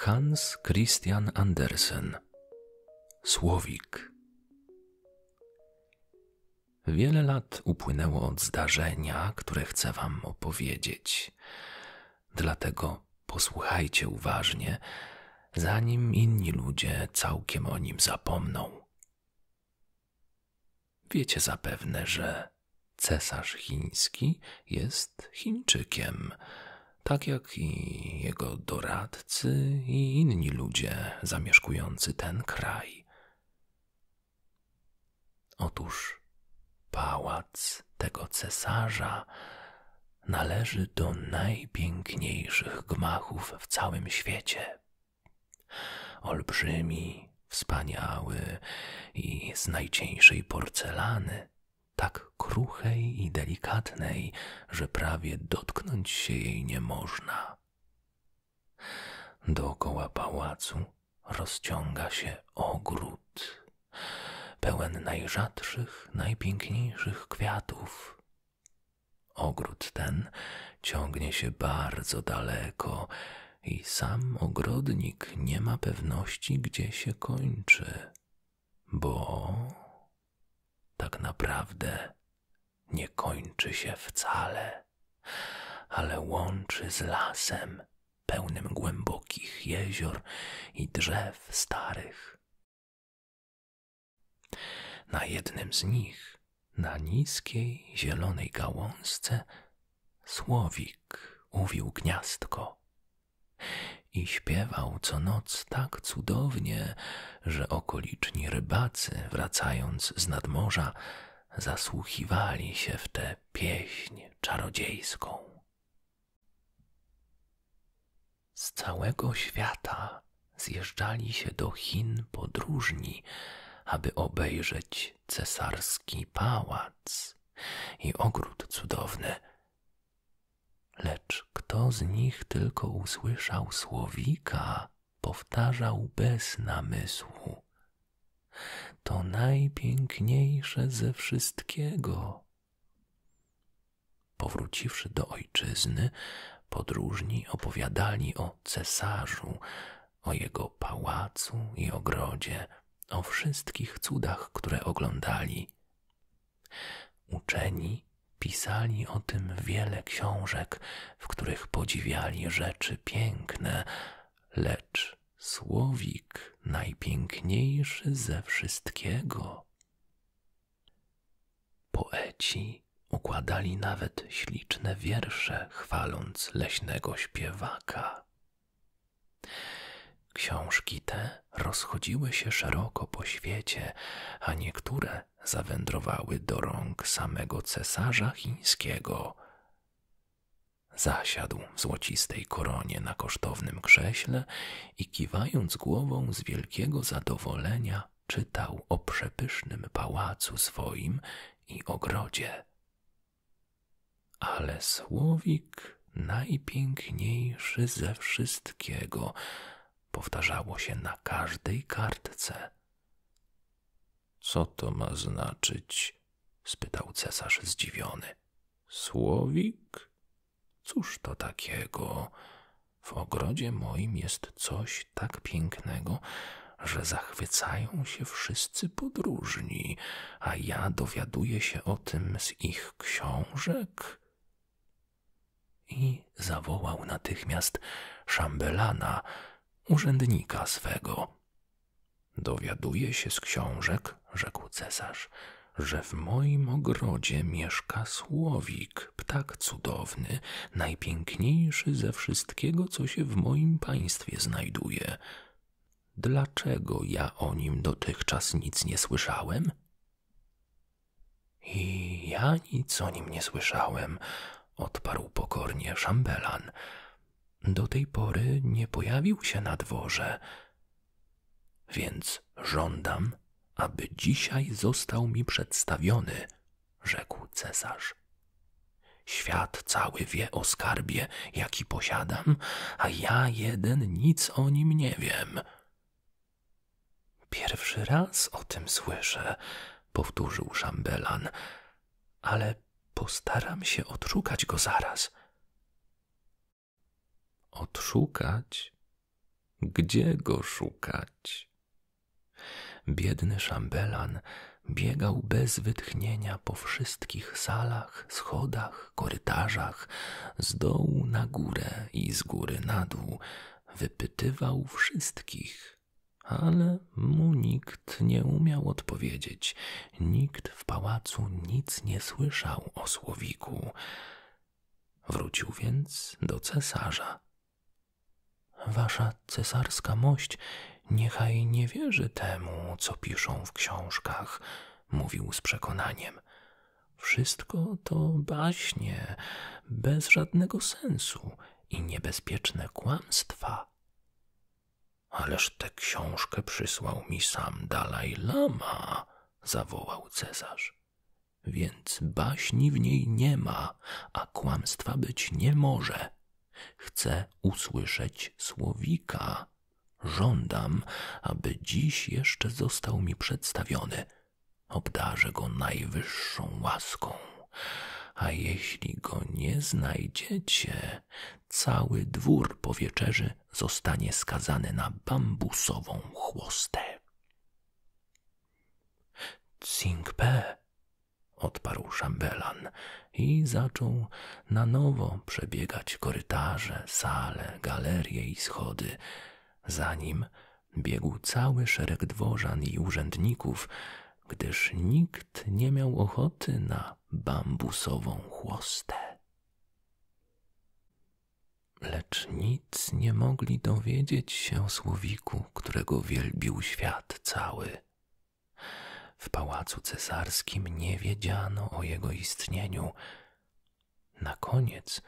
Hans Christian Andersen Słowik Wiele lat upłynęło od zdarzenia, które chcę Wam opowiedzieć. Dlatego posłuchajcie uważnie, zanim inni ludzie całkiem o nim zapomną. Wiecie zapewne, że cesarz chiński jest Chińczykiem, tak jak i jego doradcy i inni ludzie zamieszkujący ten kraj. Otóż pałac tego cesarza należy do najpiękniejszych gmachów w całym świecie. Olbrzymi, wspaniały i z najcieńszej porcelany, tak kruchej i delikatnej, że prawie dotknąć się jej nie można. Dookoła pałacu rozciąga się ogród, pełen najrzadszych, najpiękniejszych kwiatów, Ogród ten ciągnie się bardzo daleko i sam ogrodnik nie ma pewności, gdzie się kończy, bo tak naprawdę nie kończy się wcale, ale łączy z lasem pełnym głębokich jezior i drzew starych, na jednym z nich, na niskiej, zielonej gałązce, słowik uwił gniazdko i śpiewał co noc tak cudownie, że okoliczni rybacy, wracając z nadmorza, zasłuchiwali się w tę pieśń czarodziejską. Z całego świata zjeżdżali się do Chin podróżni, aby obejrzeć cesarski pałac i ogród cudowny. Lecz kto z nich tylko usłyszał słowika, powtarzał bez namysłu. To najpiękniejsze ze wszystkiego. Powróciwszy do ojczyzny, podróżni opowiadali o cesarzu, o jego pałacu i ogrodzie, o wszystkich cudach, które oglądali. Uczeni pisali o tym wiele książek, w których podziwiali rzeczy piękne, lecz słowik najpiękniejszy ze wszystkiego Poeci układali nawet śliczne wiersze, chwaląc leśnego śpiewaka. Książki te rozchodziły się szeroko po świecie, a niektóre zawędrowały do rąk samego cesarza chińskiego. Zasiadł w złocistej koronie na kosztownym krześle i kiwając głową z wielkiego zadowolenia, czytał o przepysznym pałacu swoim i ogrodzie. Ale słowik najpiękniejszy ze wszystkiego powtarzało się na każdej kartce. Co to ma znaczyć? spytał cesarz zdziwiony. Słowik? Cóż to takiego? W ogrodzie moim jest coś tak pięknego, że zachwycają się wszyscy podróżni, a ja dowiaduję się o tym z ich książek. I zawołał natychmiast szambelana, urzędnika swego. Dowiaduję się z książek, rzekł cesarz, że w moim ogrodzie mieszka słowik Ludwik, ptak cudowny, najpiękniejszy ze wszystkiego, co się w moim państwie znajduje. Dlaczego ja o nim dotychczas nic nie słyszałem? I ja nic o nim nie słyszałem, odparł pokornie szambelan. Do tej pory nie pojawił się na dworze. Więc żądam, aby dzisiaj został mi przedstawiony, rzekł cesarz. Świat cały wie o skarbie, jaki posiadam, a ja jeden nic o nim nie wiem. Pierwszy raz o tym słyszę, powtórzył szambelan, ale postaram się odszukać go zaraz. Odszukać? Gdzie go szukać? Biedny szambelan biegał bez wytchnienia po wszystkich salach, schodach, korytarzach, z dołu na górę i z góry na dół, wypytywał wszystkich. Ale mu nikt nie umiał odpowiedzieć, nikt w pałacu nic nie słyszał o słowiku. Wrócił więc do cesarza. Wasza cesarska mość niechaj nie wierzy temu, co piszą w książkach, mówił z przekonaniem. Wszystko to baśnie, bez żadnego sensu i niebezpieczne kłamstwa. Ależ tę książkę przysłał mi sam Dalaj Lama, zawołał cesarz. Więc baśni w niej nie ma, a kłamstwa być nie może. Chcę usłyszeć słowika. Żądam, aby dziś jeszcze został mi przedstawiony. Obdarzę go najwyższą łaską. A jeśli go nie znajdziecie, cały dwór po wieczerzy zostanie skazany na bambusową chłostę. Tsingpe, odparł szambelan i zaczął na nowo przebiegać korytarze, sale, galerie i schody. Za nim biegł cały szereg dworzan i urzędników, gdyż nikt nie miał ochoty na bambusową chłostę. Lecz nic nie mogli dowiedzieć się o słowiku, którego wielbił świat cały. W pałacu cesarskim nie wiedziano o jego istnieniu. Na koniec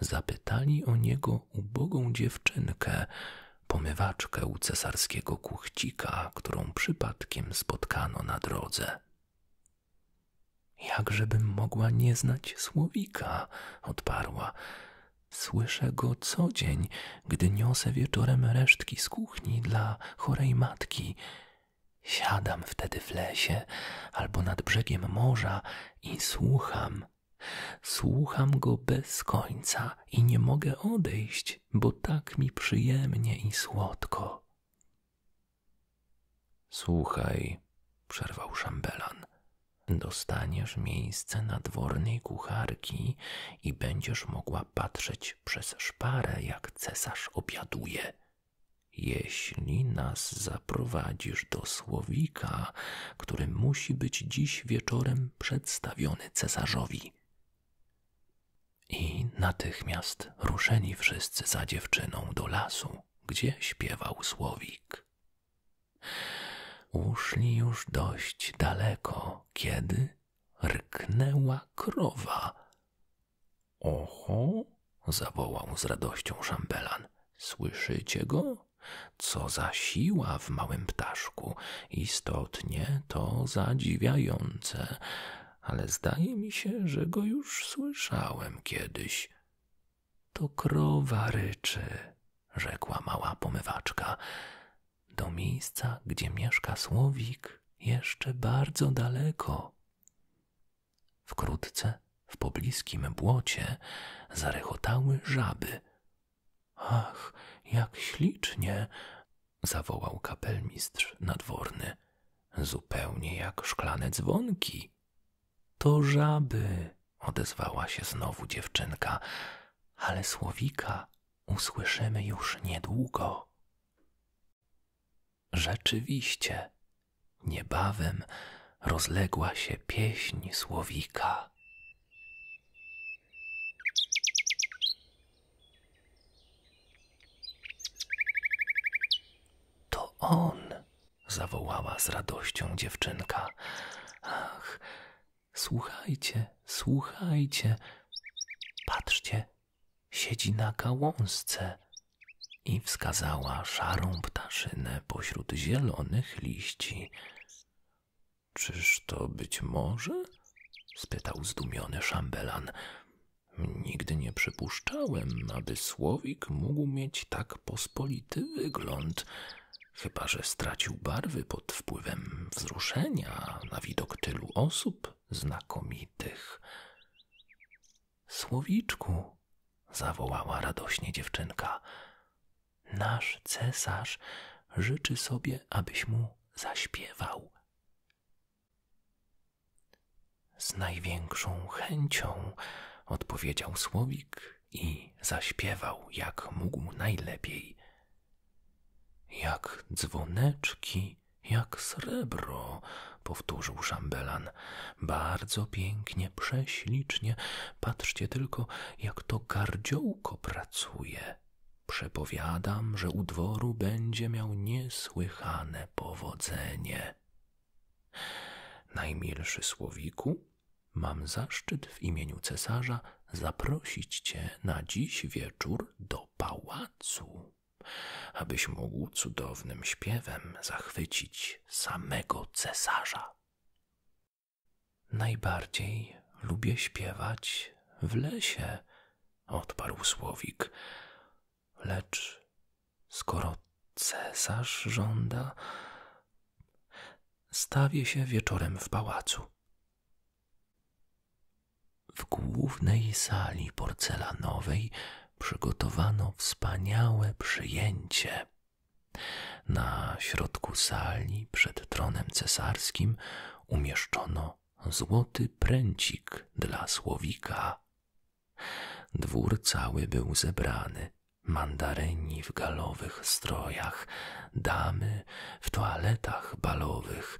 zapytali o niego ubogą dziewczynkę, pomywaczkę u cesarskiego kuchcika, którą przypadkiem spotkano na drodze. Jakżebym mogła nie znać słowika, odparła. Słyszę go co gdy niosę wieczorem resztki z kuchni dla chorej matki. Siadam wtedy w lesie albo nad brzegiem morza i słucham. Słucham go bez końca i nie mogę odejść, bo tak mi przyjemnie i słodko. Słuchaj, przerwał szambelan, dostaniesz miejsce nadwornej kucharki i będziesz mogła patrzeć przez szparę, jak cesarz obiaduje. Jeśli nas zaprowadzisz do słowika, który musi być dziś wieczorem przedstawiony cesarzowi. I natychmiast ruszeni wszyscy za dziewczyną do lasu, gdzie śpiewał słowik. Uszli już dość daleko, kiedy rknęła krowa. Oho, zawołał z radością szambelan. Słyszycie go? Co za siła w małym ptaszku. Istotnie to zadziwiające, ale zdaje mi się, że go już słyszałem kiedyś. To krowa ryczy, rzekła mała pomywaczka. Do miejsca, gdzie mieszka słowik, jeszcze bardzo daleko. Wkrótce w pobliskim błocie zarechotały żaby. Ach, jak ślicznie! zawołał kapelmistrz nadworny. Zupełnie jak szklane dzwonki. To żaby, odezwała się znowu dziewczynka, ale słowika usłyszymy już niedługo. Rzeczywiście, niebawem rozległa się pieśń słowika. To on, zawołała z radością dziewczynka. Ach, Słuchajcie, słuchajcie. Patrzcie, siedzi na gałązce. I wskazała szarą ptaszynę pośród zielonych liści. Czyż to być może? spytał zdumiony szambelan. Nigdy nie przypuszczałem, aby słowik mógł mieć tak pospolity wygląd chyba że stracił barwy pod wpływem wzruszenia na widok tylu osób znakomitych. Słowiczku, zawołała radośnie dziewczynka, nasz cesarz życzy sobie, abyś mu zaśpiewał. Z największą chęcią, odpowiedział słowik i zaśpiewał jak mógł najlepiej. Jak dzwoneczki, jak srebro, powtórzył szambelan. Bardzo pięknie, prześlicznie. Patrzcie tylko, jak to gardziołko pracuje. Przepowiadam, że u dworu będzie miał niesłychane powodzenie. Najmilszy słowiku, Mam zaszczyt w imieniu cesarza zaprosić cię na dziś wieczór do pałacu, abyś mógł cudownym śpiewem zachwycić samego cesarza. Najbardziej lubię śpiewać w lesie, odparł słowik. Lecz skoro cesarz żąda, stawię się wieczorem w pałacu. W głównej sali porcelanowej przygotowano wspaniałe przyjęcie. Na środku sali, przed tronem cesarskim, umieszczono złoty pręcik dla słowika. Dwór cały był zebrany, mandaryni w galowych strojach, damy w toaletach balowych,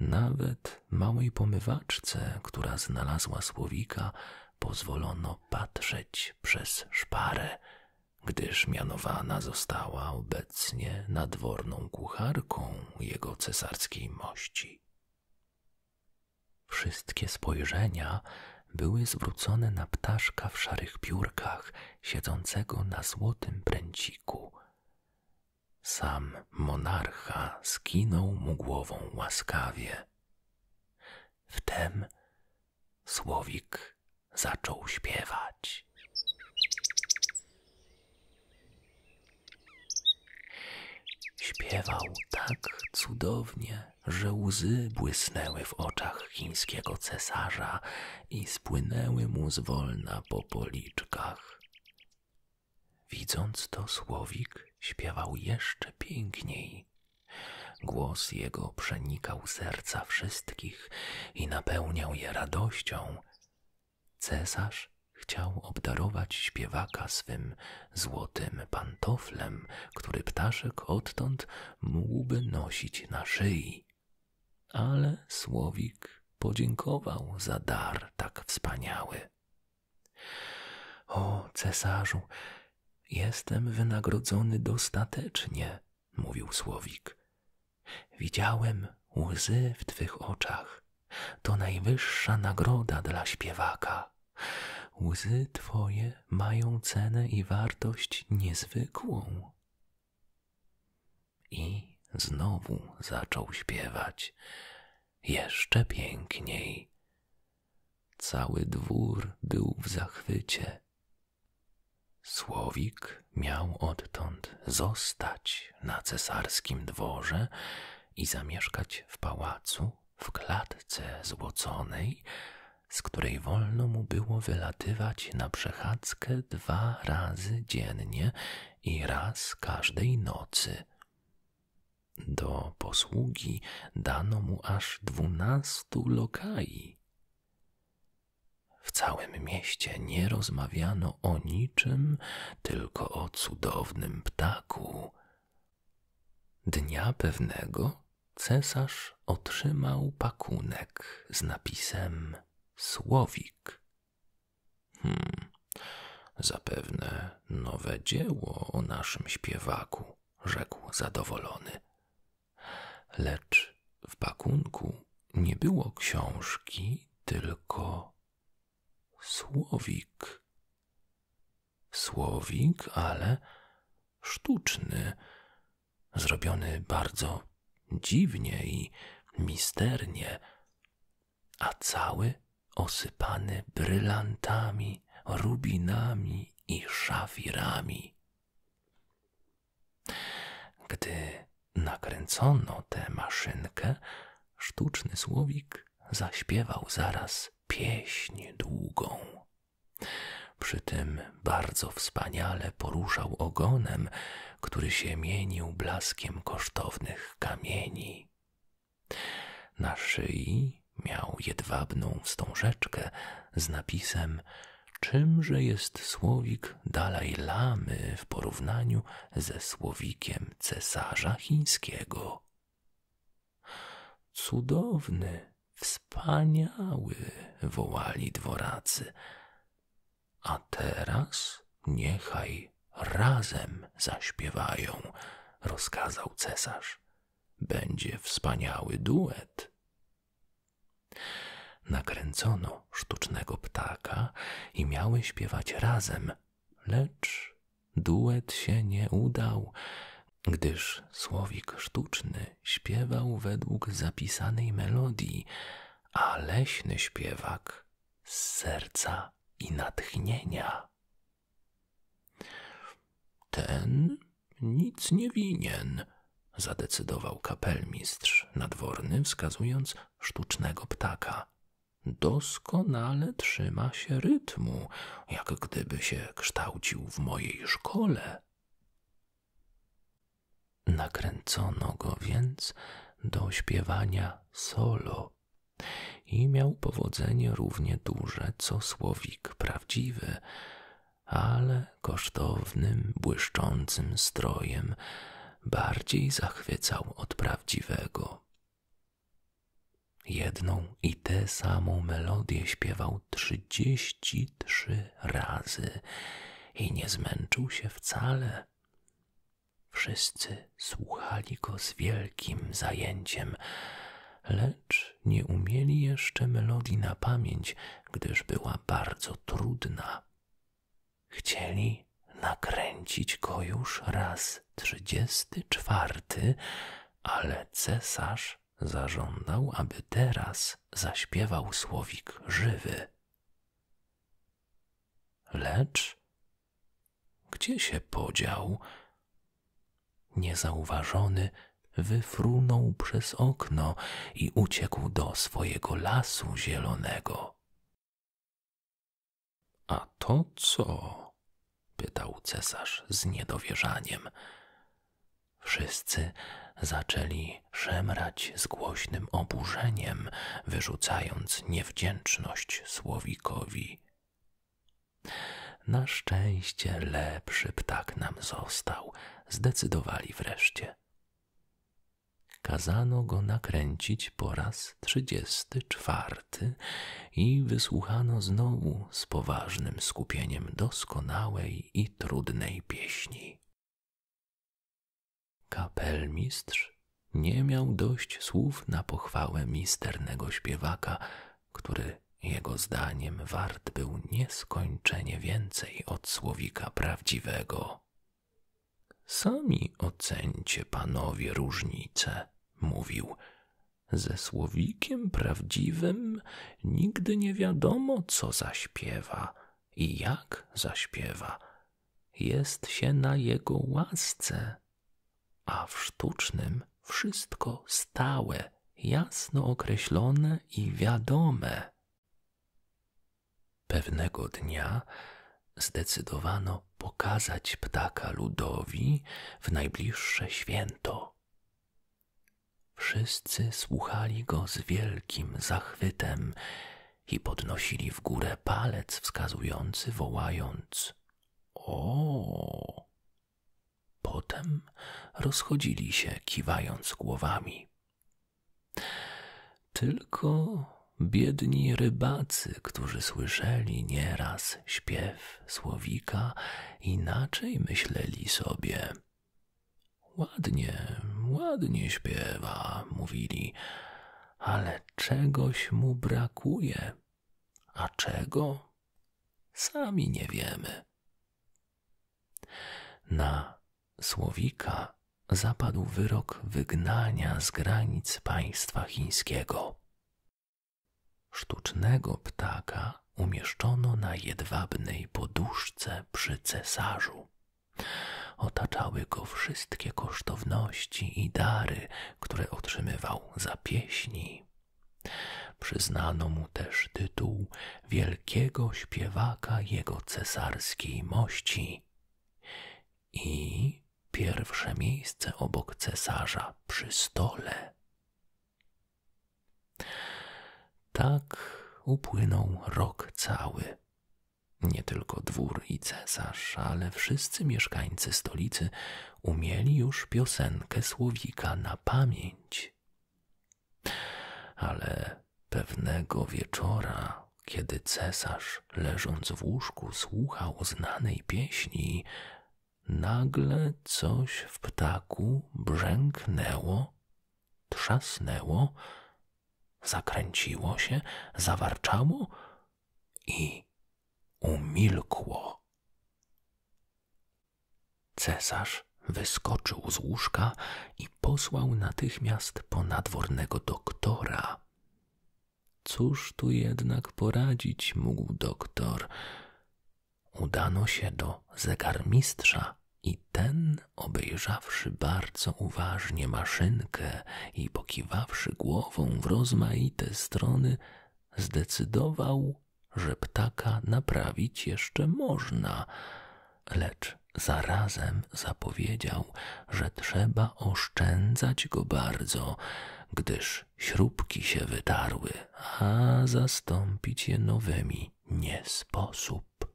nawet małej pomywaczce, która znalazła słowika, pozwolono patrzeć przez szparę, gdyż mianowana została obecnie nadworną kucharką jego cesarskiej mości. Wszystkie spojrzenia były zwrócone na ptaszka w szarych piórkach – siedzącego na złotym pręciku. Sam monarcha skinął mu głową łaskawie. Wtem słowik zaczął śpiewać. Śpiewał tak cudownie, że łzy błysnęły w oczach chińskiego cesarza, i spłynęły mu zwolna po policzkach. Widząc to, słowik śpiewał jeszcze piękniej. Głos jego przenikał serca wszystkich i napełniał je radością. Cesarz chciał obdarować śpiewaka swym złotym pantoflem, który ptaszek odtąd mógłby nosić na szyi. Ale słowik podziękował za dar tak wspaniały. O, cesarzu, jestem wynagrodzony dostatecznie, mówił słowik. Widziałem łzy w twych oczach. To najwyższa nagroda dla śpiewaka. Łzy twoje mają cenę i wartość niezwykłą. I znowu zaczął śpiewać, jeszcze piękniej. Cały dwór był w zachwycie. Słowik miał odtąd zostać na cesarskim dworze i zamieszkać w pałacu w klatce złoconej, z której wolno mu było wylatywać na przechadzkę dwa razy dziennie i raz każdej nocy. Do posługi dano mu aż dwunastu lokai. W całym mieście nie rozmawiano o niczym, tylko o cudownym ptaku. Dnia pewnego cesarz otrzymał pakunek z napisem Słowik. Hmm, zapewne nowe dzieło o naszym śpiewaku, rzekł zadowolony. Lecz w pakunku nie było książki, tylko słowik. Słowik, ale sztuczny, zrobiony bardzo dziwnie i misternie, a cały osypany brylantami, rubinami i szafirami. Gdy nakręcono tę maszynkę, sztuczny słowik zaśpiewał zaraz pieśń długą, przy tym bardzo wspaniale poruszał ogonem, który się mienił blaskiem kosztownych kamieni. Na szyi miał jedwabną wstążeczkę z napisem Czymże jest słowik Dalaj Lamy w porównaniu ze słowikiem cesarza chińskiego? Cudowny, wspaniały, wołali dworacy. A teraz niechaj razem zaśpiewają, rozkazał cesarz. Będzie wspaniały duet. Nakręcono sztucznego ptaka i miały śpiewać razem, lecz duet się nie udał, gdyż słowik sztuczny śpiewał według zapisanej melodii, a leśny śpiewak z serca i natchnienia. Ten nic nie winien, zadecydował kapelmistrz nadworny, wskazując sztucznego ptaka. Doskonale trzyma się rytmu, jak gdyby się kształcił w mojej szkole. Nakręcono go więc do śpiewania solo i miał powodzenie równie duże co słowik prawdziwy, ale kosztownym, błyszczącym strojem bardziej zachwycał od prawdziwego. Jedną i tę samą melodię śpiewał trzydzieści nogi trzy razy i nie zmęczył się wcale. Wszyscy słuchali go z wielkim zajęciem, lecz nie umieli jeszcze melodii na pamięć, gdyż była bardzo trudna. Chcieli nakręcić go już raz trzydziesty czwarty, ale cesarz zażądał, aby teraz zaśpiewał słowik żywy. Lecz gdzie się podział? Niezauważony wyfrunął przez okno i uciekł do swojego lasu zielonego. A to co? pytał cesarz z niedowierzaniem. Wszyscy zaczęli szemrać z głośnym oburzeniem, wyrzucając niewdzięczność słowikowi. Na szczęście lepszy ptak nam został, zdecydowali wreszcie. Kazano go nakręcić po raz trzydziesty czwarty i wysłuchano znowu z poważnym skupieniem doskonałej i trudnej pieśni. Kapelmistrz nie miał dość słów na pochwałę misternego śpiewaka, który jego zdaniem wart był nieskończenie więcej od słowika prawdziwego. Sami ocencie panowie różnice, mówił. Ze słowikiem prawdziwym nigdy nie wiadomo, co zaśpiewa i jak zaśpiewa, jest się na jego łasce, a w sztucznym wszystko stałe, jasno określone i wiadome. Pewnego dnia zdecydowano pokazać ptaka ludowi w najbliższe święto. Wszyscy słuchali go z wielkim zachwytem i podnosili w górę palec wskazujący, wołając: O! Potem rozchodzili się, kiwając głowami. Tylko biedni rybacy, którzy słyszeli nieraz śpiew słowika, inaczej myśleli sobie. Ładnie, ładnie śpiewa, mówili, ale czegoś mu brakuje. A czego? Sami nie wiemy. Na Słowika zapadł wyrok wygnania z granic państwa chińskiego. Sztucznego ptaka umieszczono na jedwabnej poduszce przy cesarzu. Otaczały go wszystkie kosztowności i dary, które otrzymywał za pieśni. Przyznano mu też tytuł wielkiego śpiewaka jego cesarskiej mości i pierwsze miejsce obok cesarza przy stole. Tak upłynął rok cały nie tylko dwór i cesarz, ale wszyscy mieszkańcy stolicy umieli już piosenkę słowika na pamięć. Ale pewnego wieczora, kiedy cesarz, leżąc w łóżku, słuchał znanej pieśni, nagle coś w ptaku brzęknęło, trzasnęło Zakręciło się, zawarczało i umilkło. Cesarz wyskoczył z łóżka i posłał natychmiast po nadwornego doktora. Cóż tu jednak poradzić mógł doktor? Udano się do zegarmistrza i ten, obejrzawszy bardzo uważnie maszynkę i pokiwawszy głową w rozmaite strony, zdecydował, że ptaka naprawić jeszcze można, lecz zarazem zapowiedział, że trzeba oszczędzać go bardzo, gdyż śrubki się wytarły, a zastąpić je nowymi nie sposób lub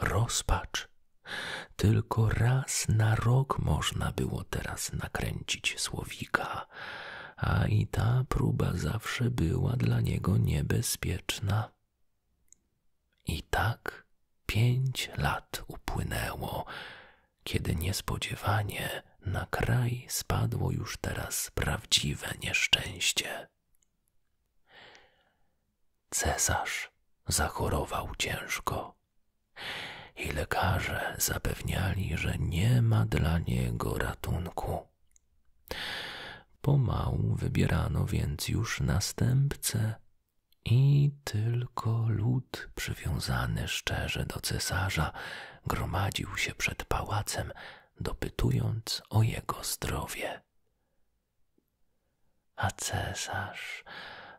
rozpacz. Tylko raz na rok można było teraz nakręcić słowika, a i ta próba zawsze była dla niego niebezpieczna. I tak pięć lat upłynęło, kiedy niespodziewanie na kraj spadło już teraz prawdziwe nieszczęście. Cesarz zachorował ciężko i lekarze zapewniali, że nie ma dla niego ratunku. Pomału wybierano więc już następcę i tylko lud przywiązany szczerze do cesarza gromadził się przed pałacem, dopytując o jego zdrowie. A cesarz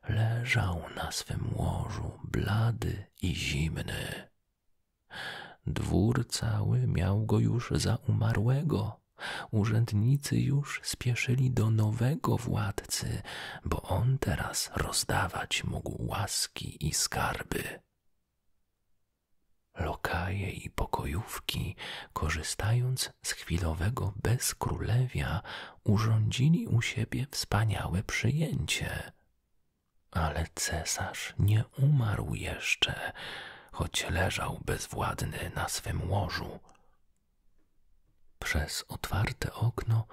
leżał na swym łożu blady i zimny. Dwór cały miał go już za umarłego. Urzędnicy już spieszyli do nowego władcy, bo on teraz rozdawać mógł łaski i skarby. Lokaje i pokojówki, korzystając podczas chwilowego bezkrólewia urządzili u siebie wspaniałe przyjęcie. Ale cesarz nie umarł jeszcze, choć leżał bezwładny na swym łożu. Przez otwarte okno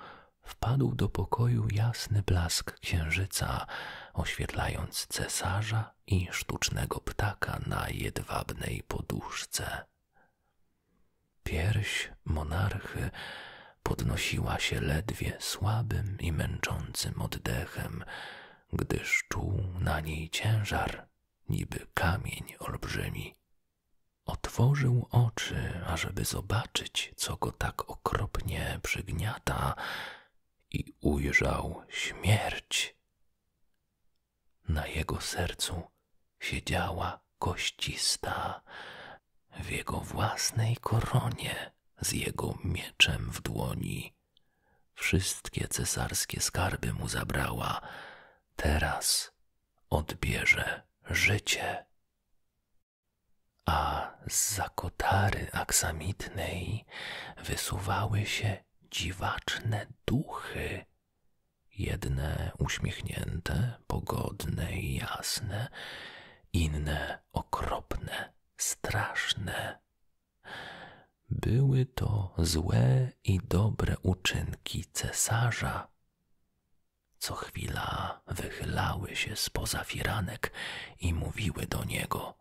wpadł do pokoju jasny blask księżyca, oświetlając cesarza i sztucznego ptaka na jedwabnej poduszce. Pierś monarchy podnosiła się ledwie słabym i męczącym oddechem, gdyż czuł na niej ciężar, niby kamień olbrzymi. Otworzył oczy, ażeby zobaczyć, co go tak okropnie przygniata, i ujrzał śmierć. Na jego sercu siedziała koścista, w jego własnej koronie, z jego mieczem w dłoni. Wszystkie cesarskie skarby mu zabrała, teraz odbierze życie. A z zakotary aksamitnej wysuwały się dziwaczne duchy Jedne uśmiechnięte, pogodne i jasne, inne okropne, straszne. Były to złe i dobre uczynki cesarza. Co chwila wychylały się z poza firanek i mówiły do niego: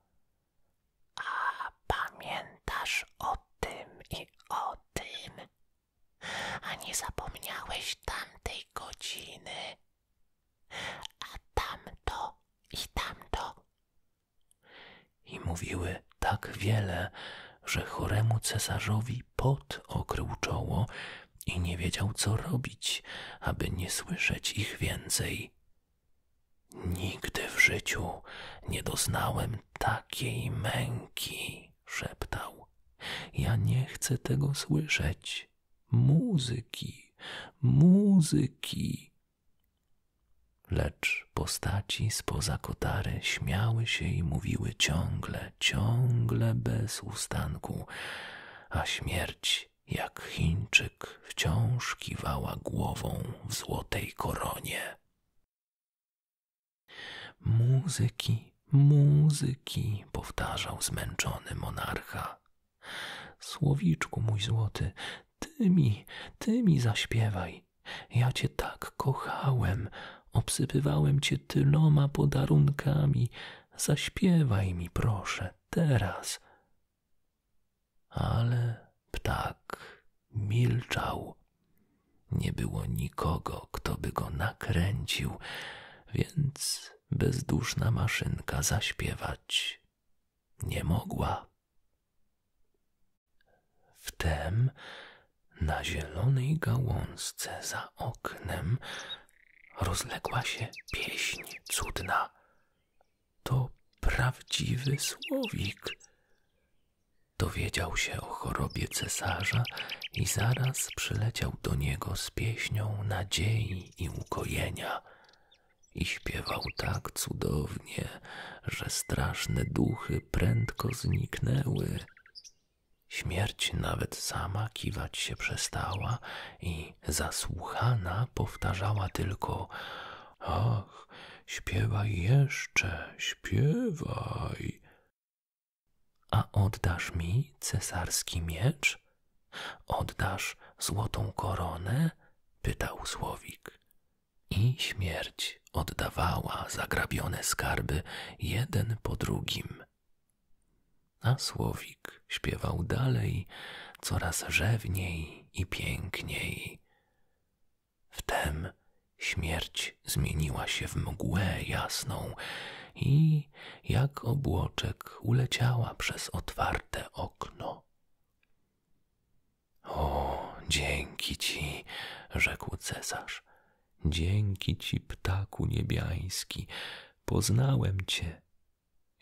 A pamiętasz o tym i o tym. A nie zapomniałeś tamtej godziny, a tamto i tamto. I mówiły tak wiele, że choremu cesarzowi pot okrył czoło i nie wiedział, co robić, aby nie słyszeć ich więcej. Nigdy w życiu nie doznałem takiej męki, szeptał. Ja nie chcę tego słyszeć. Muzyki, muzyki. Lecz postaci z poza kotary śmiały się i mówiły ciągle, ciągle bez ustanku, a śmierć, jak Chińczyk, wciąż kiwała głową w złotej koronie. Muzyki, muzyki, powtarzał zmęczony monarcha. Słowiczku mój złoty, ty mi, ty mi zaśpiewaj. Ja cię tak kochałem, obsypywałem cię tyloma podarunkami. Zaśpiewaj mi, proszę, teraz. Ale ptak milczał. Nie było nikogo, kto by go nakręcił, więc bezduszna maszynka zaśpiewać nie mogła. Wtem na zielonej gałązce za oknem rozległa się pieśń cudna. To prawdziwy słowik. Dowiedział się o chorobie cesarza i zaraz przyleciał do niego z pieśnią nadziei i ukojenia. I śpiewał tak cudownie, że straszne duchy prędko zniknęły. Śmierć nawet sama kiwać się przestała i zasłuchana powtarzała tylko Ach, śpiewaj jeszcze, śpiewaj. A oddasz mi cesarski miecz? Oddasz złotą koronę? pytał słowik. I śmierć oddawała zagrabione skarby jeden po drugim. A słowik śpiewał dalej, coraz rzewniej i piękniej. Wtem śmierć zmieniła się w mgłę jasną i jak obłoczek uleciała przez otwarte okno. O, dzięki ci, rzekł cesarz. Dzięki ci, ptaku niebiański, poznałem cię.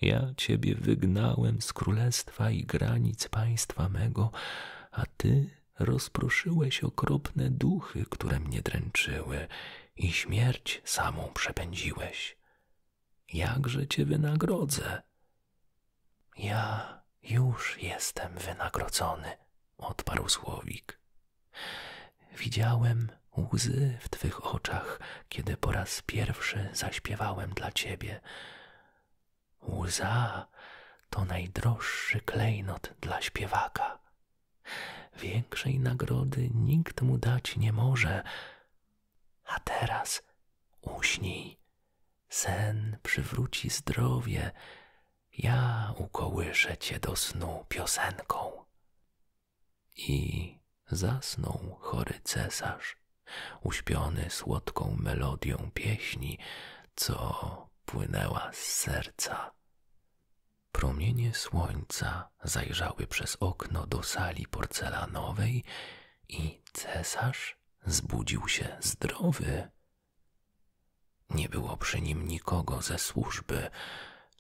Ja ciebie wygnałem z królestwa i granic państwa mego, a ty rozproszyłeś okropne duchy, które mnie dręczyły, i śmierć samą przepędziłeś. Jakże cię wynagrodzę? Ja już jestem wynagrodzony, odparł słowik. Widziałem łzy w twych oczach, kiedy po raz pierwszy zaśpiewałem dla ciebie. Łza to najdroższy klejnot dla śpiewaka. Większej nagrody nikt mu dać nie może. A teraz uśnij. Sen przywróci zdrowie. Ja ukołyszę cię do snu piosenką. I zasnął chory cesarz, uśpiony słodką melodią pieśni, co płynęła z serca. Promienie słońca zajrzały przez okno do sali porcelanowej i cesarz zbudził się zdrowy. Nie było przy nim nikogo ze służby,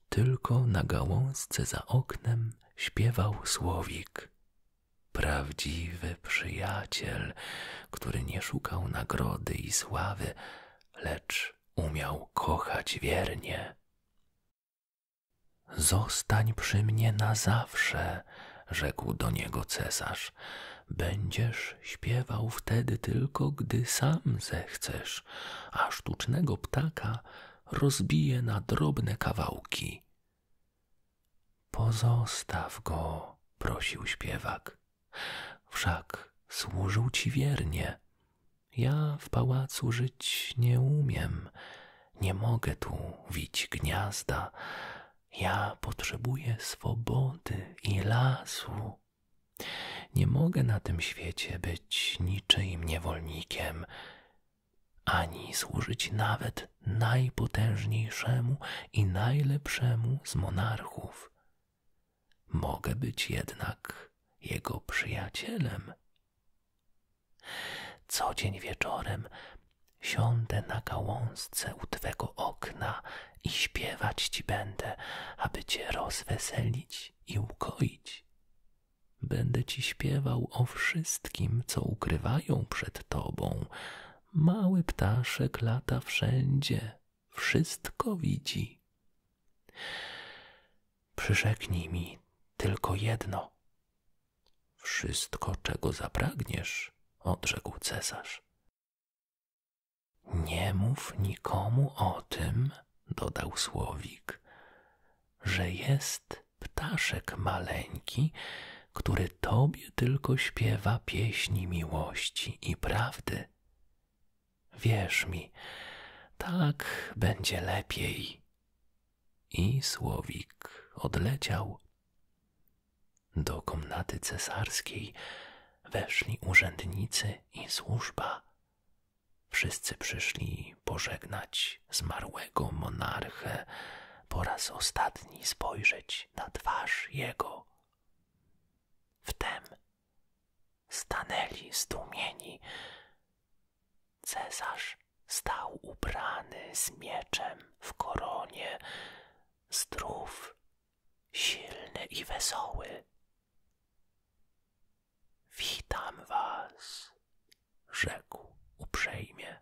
tylko na gałązce za oknem śpiewał słowik. Prawdziwy przyjaciel który nie szukał nagrody i sławy, lecz umiał kochać wiernie. Zostań przy mnie na zawsze, rzekł do niego cesarz. Będziesz śpiewał wtedy tylko, gdy sam zechcesz, a sztucznego ptaka rozbije na drobne kawałki. Pozostaw go, prosił śpiewak. Wszak służył ci wiernie. Ja w pałacu żyć nie umiem, nie mogę tu wić gniazda. Ja potrzebuję swobody i lasu. Nie mogę na tym świecie być niczym niewolnikiem, ani służyć nawet najpotężniejszemu i najlepszemu z monarchów. Mogę być jednak jego przyjacielem. Co dzień wieczorem siądę na gałązce u twego okna i śpiewać ci będę, aby cię rozweselić i ukoić. Będę ci śpiewał o wszystkim, co ukrywają przed tobą. Mały ptaszek lata wszędzie, wszystko widzi. Przyrzeknij mi tylko jedno. Wszystko, czego zapragniesz, odrzekł cesarz. Nie mów nikomu o tym, dodał słowik, że jest ptaszek maleńki, który tobie sobie tylko śpiewa pieśni miłości i prawdy. Wierz mi, tak będzie lepiej. I słowik odleciał. Do komnaty cesarskiej weszli urzędnicy i służba. Wszyscy przyszli pożegnać zmarłego monarchę, po raz ostatni spojrzeć na twarz jego Wtem stanęli zdumieni. Cezarz stał ubrany z mieczem w koronie, zdrów, silny i wesoły. Witam was, rzekł uprzejmie.